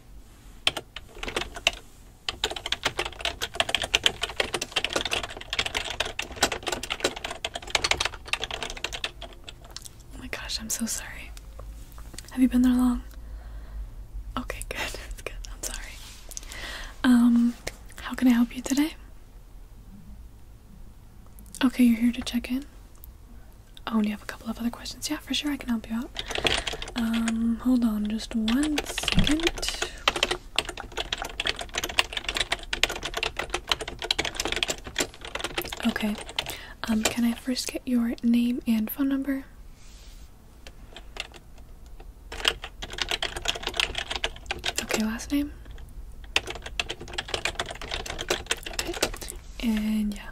Oh my gosh, I'm so sorry. Have you been there long? Okay, good. That's good. I'm sorry. Um, how can I help you today? Okay, you're here to check in. Oh, and you have a couple of other questions? Yeah, for sure, I can help you out. Um, hold on just one second. Okay. Um, can I first get your name and phone number? Okay, last name? Okay. And yeah.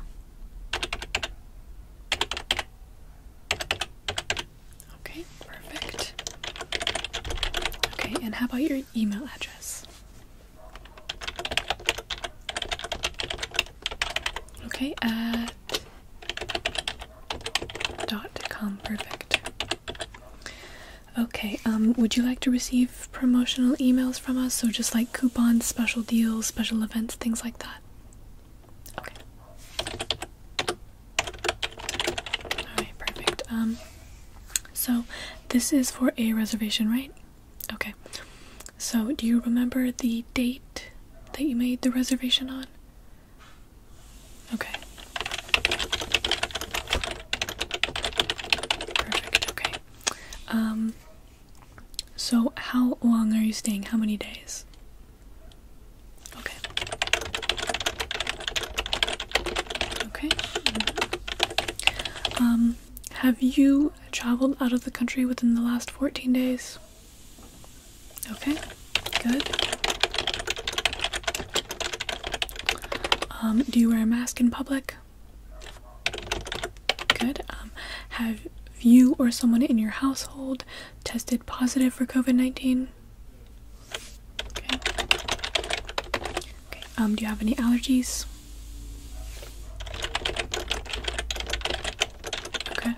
Okay, perfect. Okay, and how about your email address? Okay, at dot com, perfect. Okay, um, would you like to receive promotional emails from us? So just like coupons, special deals, special events, things like that? Okay. perfect. Um so this is for a reservation, right? Okay. So do you remember the date that you made the reservation on? Okay. Perfect, okay. Um so, how long are you staying? How many days? Okay. Okay. Mm-hmm. Um, have you traveled out of the country within the last 14 days? Okay, good. Um, do you wear a mask in public? Good. Um, have you or someone in your household tested positive for COVID 19? Okay. okay. Um, do you have any allergies? Okay.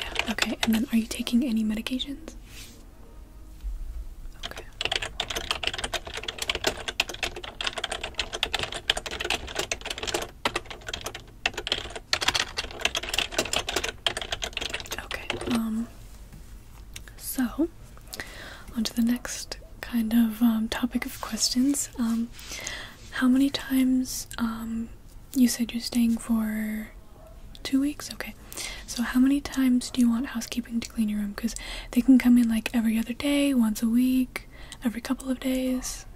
Yeah, okay. And then are you taking any medications? Okay. Okay, um, so on to the next kind of um, topic of questions. Um, how many times, um, you said you're staying for Two weeks? Okay. So, how many times do you want housekeeping to clean your room? Because they can come in like every other day, once a week, every couple of days.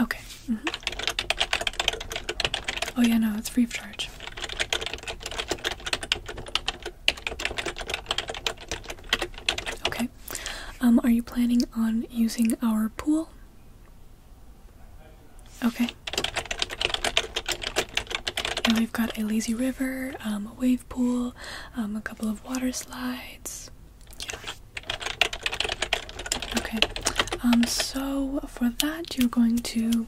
Okay. Mm -hmm. Oh, yeah, no, it's free of charge. Okay. Um, are you planning on using our pool? Okay. And we've got a lazy river, um, a wave pool, um, a couple of water slides. Okay. Um, so for that, you're going to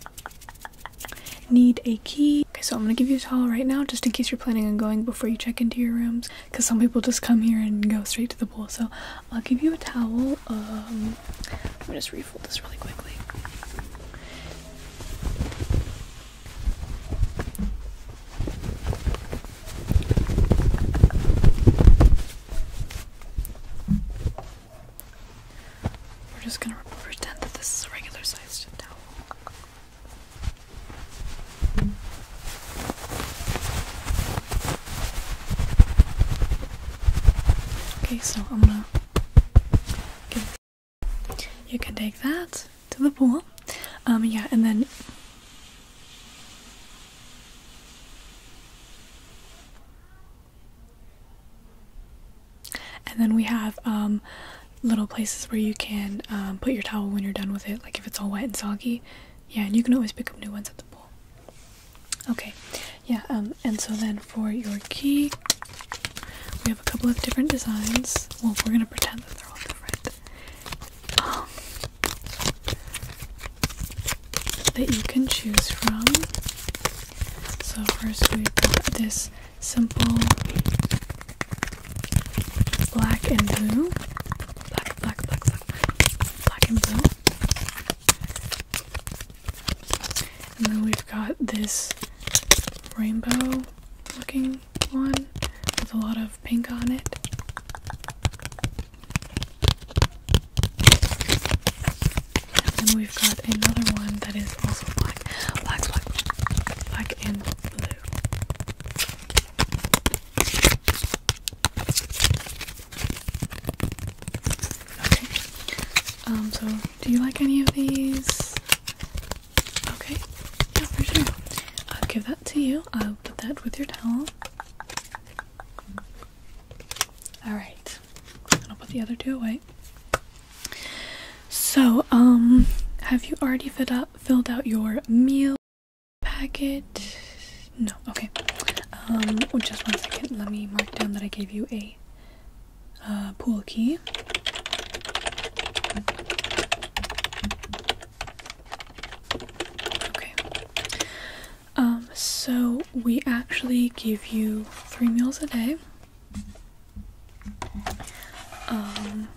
need a key. Okay, so I'm gonna give you a towel right now just in case you're planning on going before you check into your rooms because some people just come here and go straight to the pool. So I'll give you a towel. Um, I'm gonna just refold this really quickly. We're just gonna pretend that this is a regular sized towel. Okay, so I'm gonna you can take that to the pool. Um, yeah, and then. And then we have um, little places where you can um, put your towel when you're done with it, like if it's all wet and soggy. Yeah, and you can always pick up new ones at the pool. Okay, yeah, um, and so then for your key, we have a couple of different designs. Well, we're gonna pretend that they're all different. Um, that you can choose from. So first we've got this simple black and blue. Black, black, black, black, black and blue. And then we've got this rainbow looking one with a lot of pink on it. And then we've got another one that is also black. Black, black, black and blue. Okay. Um, so do you like any of these? Okay. Yeah, for sure. I'll give that to you. I'll put that with your towel. Alright. I'll put the other two away. So, um, have you already filled out your meal packet? No, okay. Um, oh, just one second. Let me mark down that I gave you a uh, pool key. Okay. Um, so we actually give you three meals a day. Um,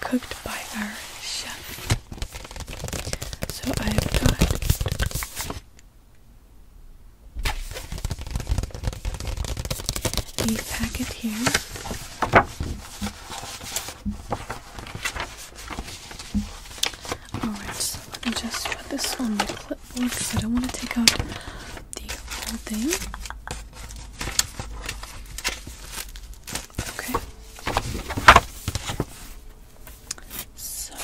cooked by our chef. So I've got the packet here. Alright, let me just put this on the clipboard because I don't want to take out the whole thing. Okay. So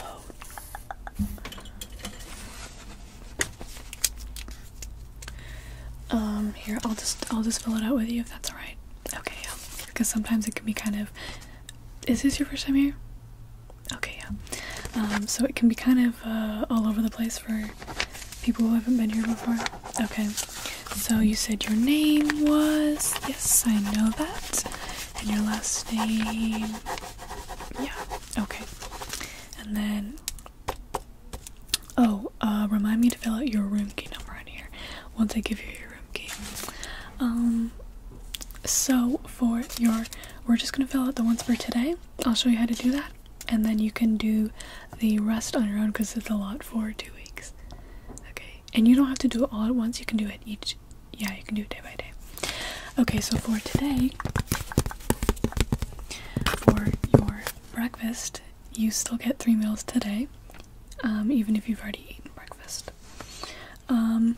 um here I'll just I'll just fill it out with you if that's alright. Okay, yeah. Because sometimes it can be kind of is this your first time here? Okay, yeah. Um so it can be kind of uh, all over the place for people who haven't been here before. Okay. So you said your name was yes, I know that and your last name. Yeah, okay. And then, oh, uh, remind me to fill out your room key number on here once I give you your room key. Um, so for your, we're just gonna fill out the ones for today. I'll show you how to do that, and then you can do the rest on your own because it's a lot for two weeks. Okay, and you don't have to do it all at once you can do it each yeah you can do it day by day okay so for today for your breakfast you still get three meals today um, even if you've already eaten breakfast um,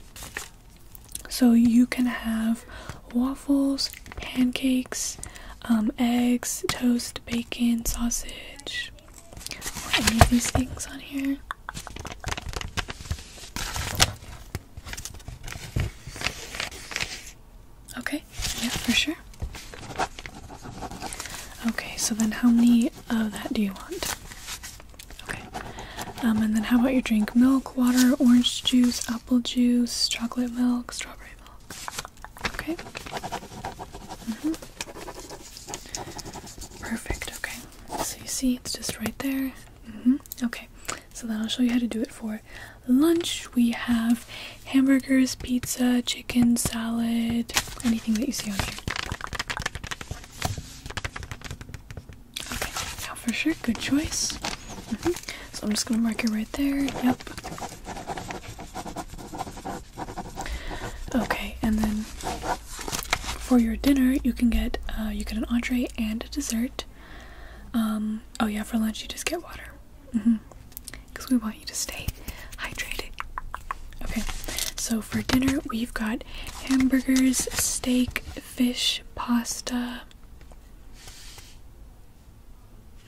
so you can have waffles pancakes um, eggs toast bacon sausage any of these things on here Okay, yeah, for sure. Okay, so then how many of that do you want? Okay. Um, and then how about your drink? Milk, water, orange juice, apple juice, chocolate milk, strawberry milk. Okay. Mm -hmm. Perfect, okay. So you see, it's just right there. Mm-hmm. Okay, so then I'll show you how to do it for lunch. We have hamburgers, pizza, chicken, salad, anything that you see on here. Okay, now for sure, good choice. Mm-hmm. So I'm just gonna mark it right there. Yep. Okay, and then for your dinner, you can get uh, you get an entree and a dessert. Um, oh yeah, for lunch you just get water, because mm-hmm. we want you to stay hydrated. Okay, so for dinner we've got hamburgers, steak, fish, pasta.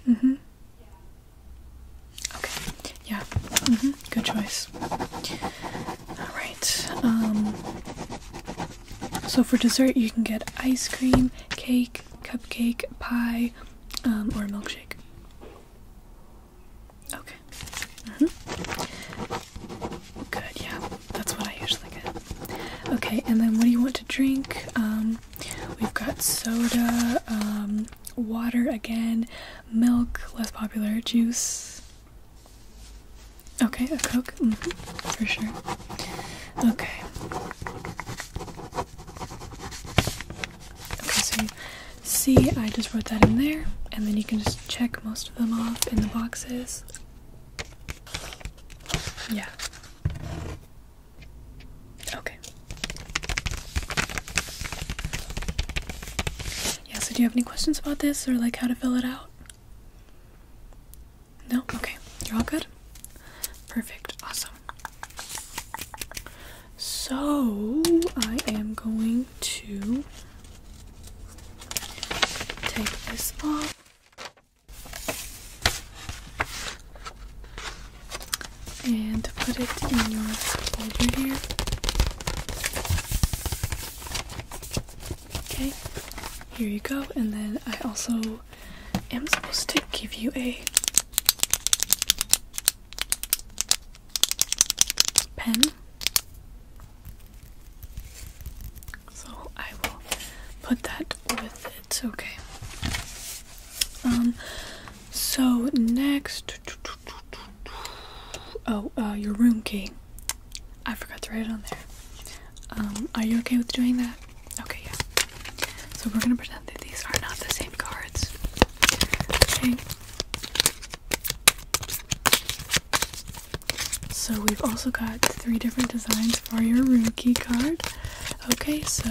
Mm-hmm. Okay. Yeah. -hmm. Good choice. All right. Um, so for dessert, you can get ice cream, cake, cupcake, pie, um, or a milkshake. Okay. -hmm. Good. Yeah. That's what I usually get. Okay. And then what do you want to drink? Um, we've got soda, um, water again, milk, less popular, juice. Okay, a Coke, mm-hmm, for sure. Okay. Okay, so you see, I just wrote that in there, and then you can just check most of them off in the boxes. Yeah. Okay yeah, so do you have any questions about this or like how to fill it out? No? Okay. You're all good? Perfect. Awesome. So I am going to take this off and put it in your folder here. Okay, here you go. And then I also am supposed to give you a pen. So I will put that with it. Okay. Um so next Oh, uh, your room key. I forgot to write it on there. Um, are you okay with doing that? Okay, yeah. So we're gonna pretend that these are not the same cards. Okay. So we've also got three different designs for your room key card. Okay, so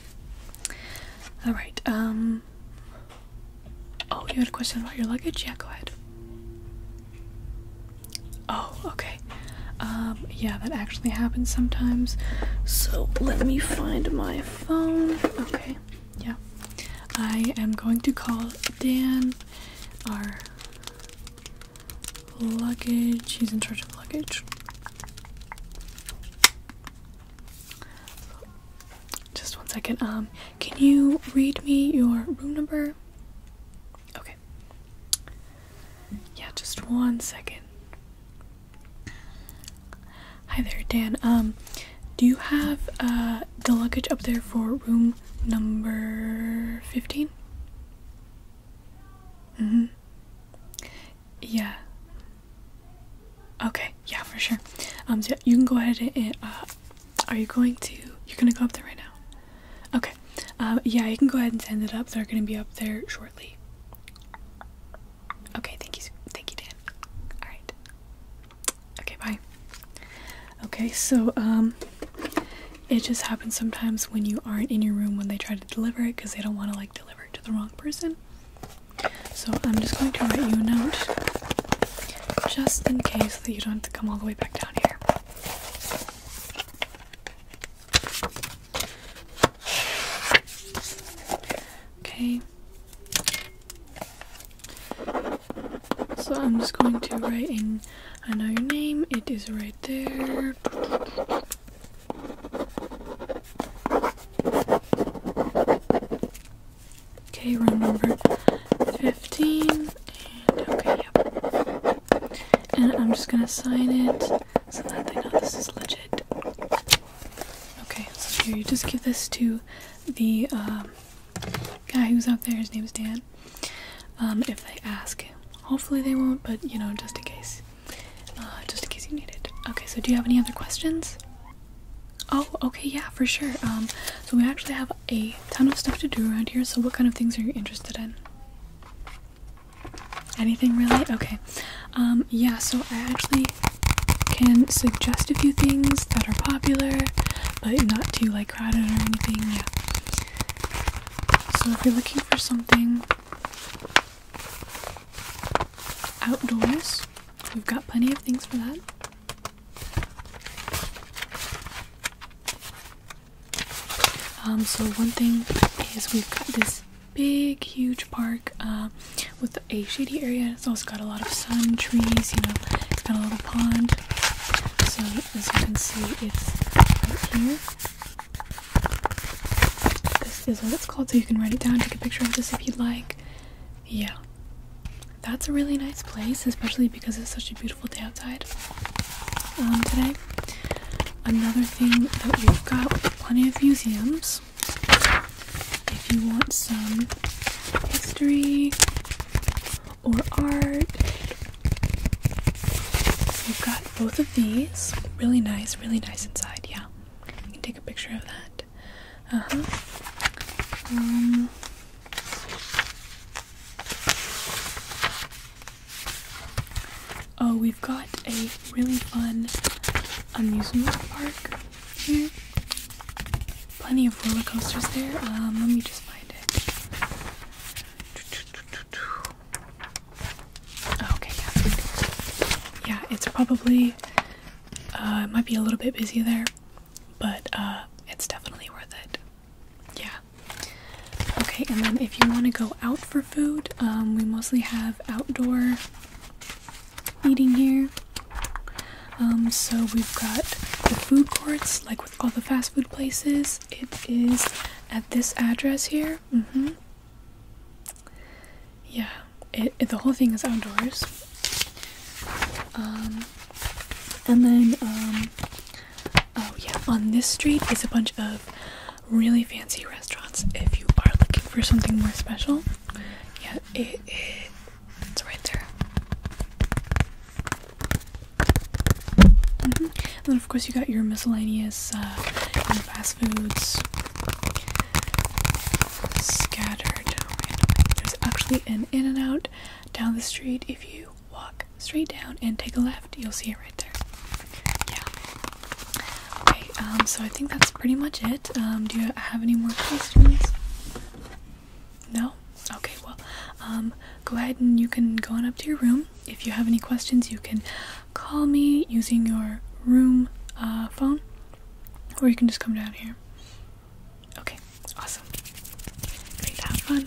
All right. Um, oh, you had a question about your luggage? Yeah, go ahead. Oh, okay. Um, yeah, that actually happens sometimes. So let me find my phone. Okay, yeah. I am going to call Dan, our luggage. He's in charge of luggage. Just one second. Um, can you read me your room number? Okay. Yeah, just one second. Hi there, Dan. Um, do you have uh, the luggage up there for room number fifteen? Mm-hmm. Yeah. Okay. Yeah, for sure. Um, so you can go ahead and uh, are you going to? You're gonna go up there right now. Okay. Um, yeah, you can go ahead and send it up. They're gonna be up there shortly. Okay. Thank you. Thank you, Dan. All right. Okay. Bye. Okay. So um, it just happens sometimes when you aren't in your room when they try to deliver it because they don't want to like like delivered to the wrong person. So I'm just going to write you a note just in case that you don't have to come all the way back down here. Okay. So I'm just going to write in I know your name, it is right there. Okay, round number 15. And okay, yep. And I'm just gonna sign it so that they know this is legit. Okay, so here, you just give this to the um, guy who's out there. His name is Dan. Um, if they ask, hopefully they won't, but you know, just in case. Uh, just in case you need it. Okay, so do you have any other questions? Oh, okay, yeah, for sure. Um, so we actually have a ton of stuff to do around here. So what kind of things are you interested in? Anything really? Okay. Um, yeah, so I actually can suggest a few things that are popular, but not too like crowded or anything. Yeah. So if you're looking for something Outdoors, we've got plenty of things for that. Um, so one thing is we've got this big, huge park uh, with a shady area. It's also got a lot of sun, trees. You know, it's got a little pond. So as you can see, it's right here. This is what it's called, so you can write it down, take a picture of this if you'd like. Yeah. That's a really nice place, especially because it's such a beautiful day outside um, today. Another thing that we've got plenty of museums. If you want some history or art We've got both of these. Really nice, really nice inside. Yeah, you can take a picture of that. Uh huh. Um, oh, we've got a really fun amusement park here. Plenty of roller coasters there. Um, let me just find it. Oh, okay, yeah. it's probably uh, it might be a little bit busy there, but uh, it's definitely worth it. Yeah. Okay, and then if you want to go out for food, um, we mostly have outdoor eating here. Um, so we've got the food courts, like with all the fast food places it is at this address here. Mm-hmm. Yeah, the whole thing is outdoors. Um, and then, um, oh yeah, on this street is a bunch of really fancy restaurants if you are looking for something more special. Yeah, it, it's right there then, mm-hmm. of course, you got your miscellaneous uh, fast foods scattered randomly. There's actually an In and Out down the street. If you walk straight down and take a left, you'll see it right there. Yeah. Okay. Um. So I think that's pretty much it. Um. Do you have any more questions? No. Okay. Well. Um. Go ahead and you can go on up to your room. If you have any questions, you can call me using your room uh, phone, or you can just come down here. Okay, awesome. have fun.